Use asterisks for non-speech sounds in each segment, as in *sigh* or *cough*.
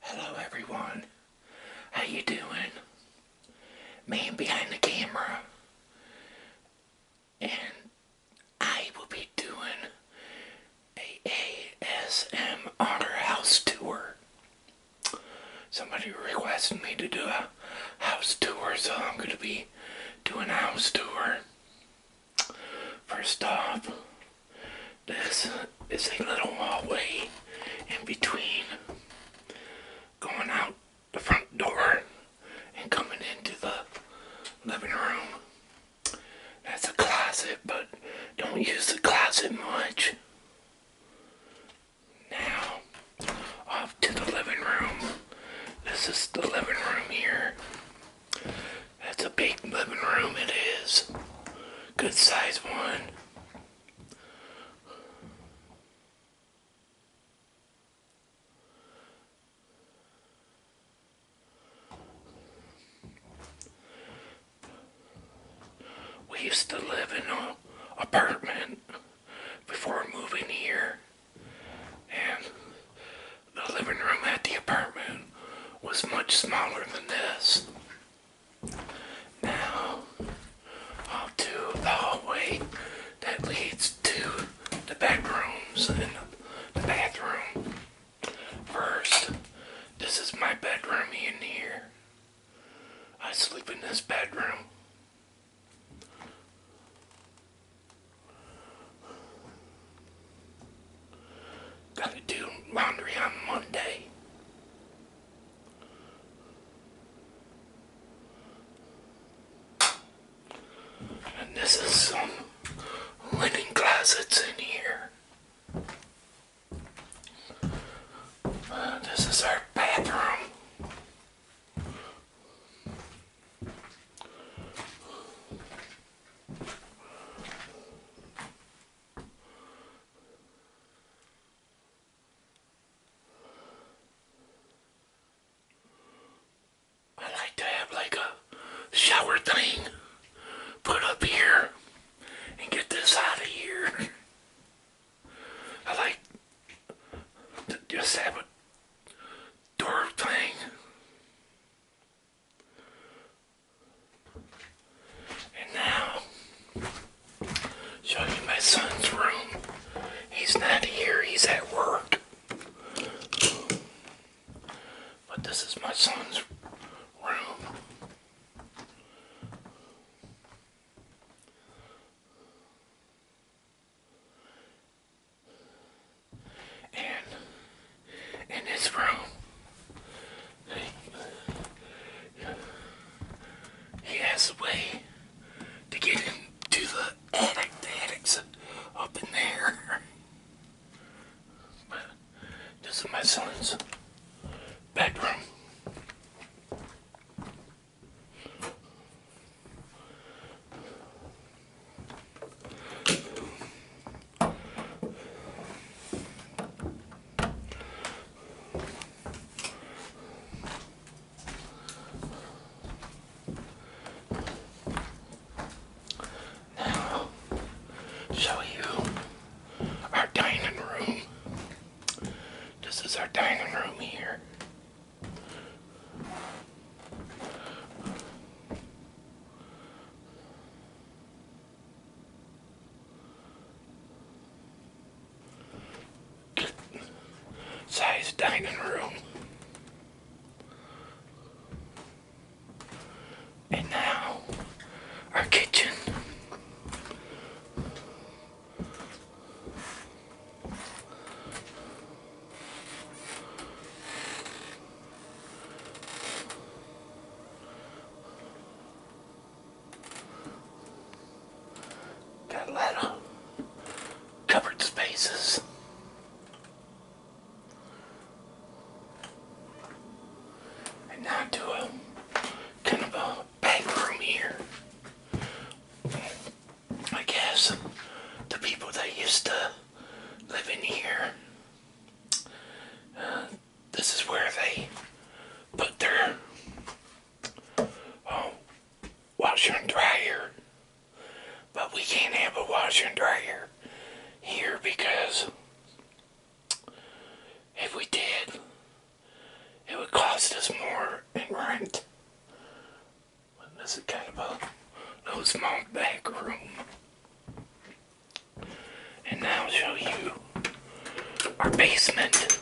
Hello everyone. How you doing? Man behind the camera. And I will be doing a ASMR house tour. Somebody requested me to do a house tour, so I'm going to be doing a house tour. First off, this is a little hallway in between going out the front door and coming into the living room. That's a closet, but don't use the closet much. Now, off to the living room. This is the living room here. That's a big living room it is. Good size one. We used to live in an apartment before moving here. And the living room at the apartment was much smaller than this. Now, i the hallway that leads to the bedrooms and the bathroom. First, this is my bedroom in here. I sleep in this bedroom. Gotta do laundry on Monday. And this is some linen closets in here. Uh, this is our bathroom. I like to have like a shower thing put up here and get this out of here. I like just have Dorf Tang. And now, show you my son's room. He's not here, he's at work. But this is my son's room. And in this room, he has a way to get into the attic. The attic's up in there. But this is my son's bedroom. Now, show you our dining room. This is our dining room here. size dining room. And now our kitchen. Got a covered spaces. And now do a kind back here. I guess the people that used to live in here, uh, this is where they put their uh, washer and dryer. But we can't have a washer and dryer here because if we did, it would cost us more in rent. This is kind of a little small back room. And now I'll show you our basement.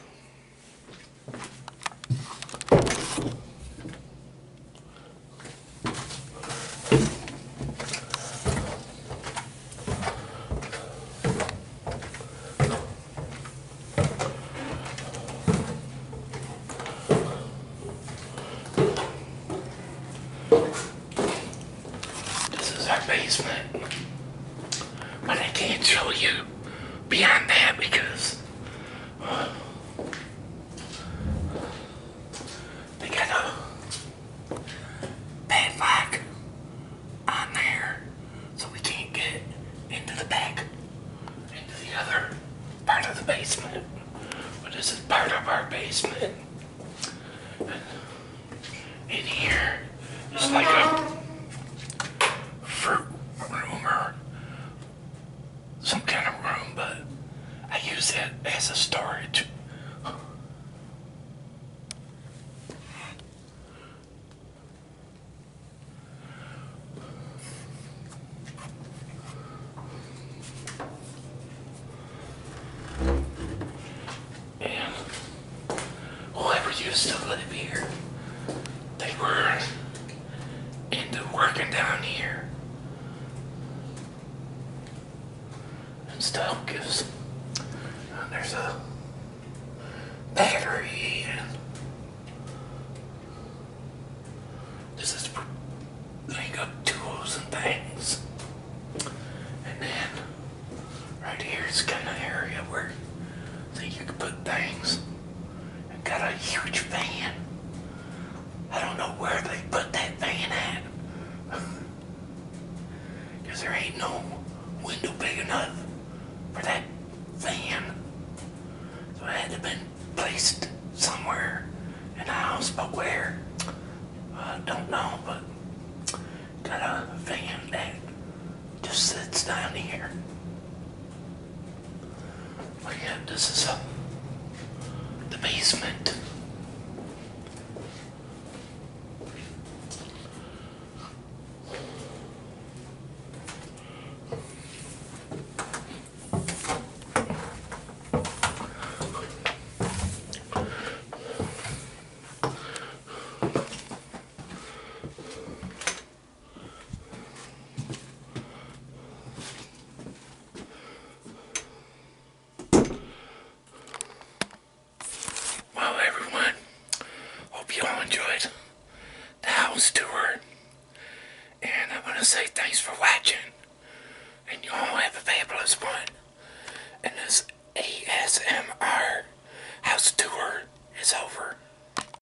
This is our basement, but I can't show you beyond that because *sighs* they got a bed lock on there so we can't get into the back, into the other part of the basement. But this is part of our basement. In it's like a fruit room or some kind of room, but I use that as a storage and whoever used to here, they were into working down here and stuff because there's a battery and this is they got tools and things and then right here is kind of area where so you can put things and got a huge van. I don't know where they put that van at. Because *laughs* there ain't no window big enough for that van. So it had to have been placed somewhere in the house, but where? I don't know, but got a van that just sits down here. Again, this is a, the basement. Well, everyone, hope you all enjoyed the house tour. And I want to say thanks for watching. And you all have a fabulous one. And this ASMR house tour is over.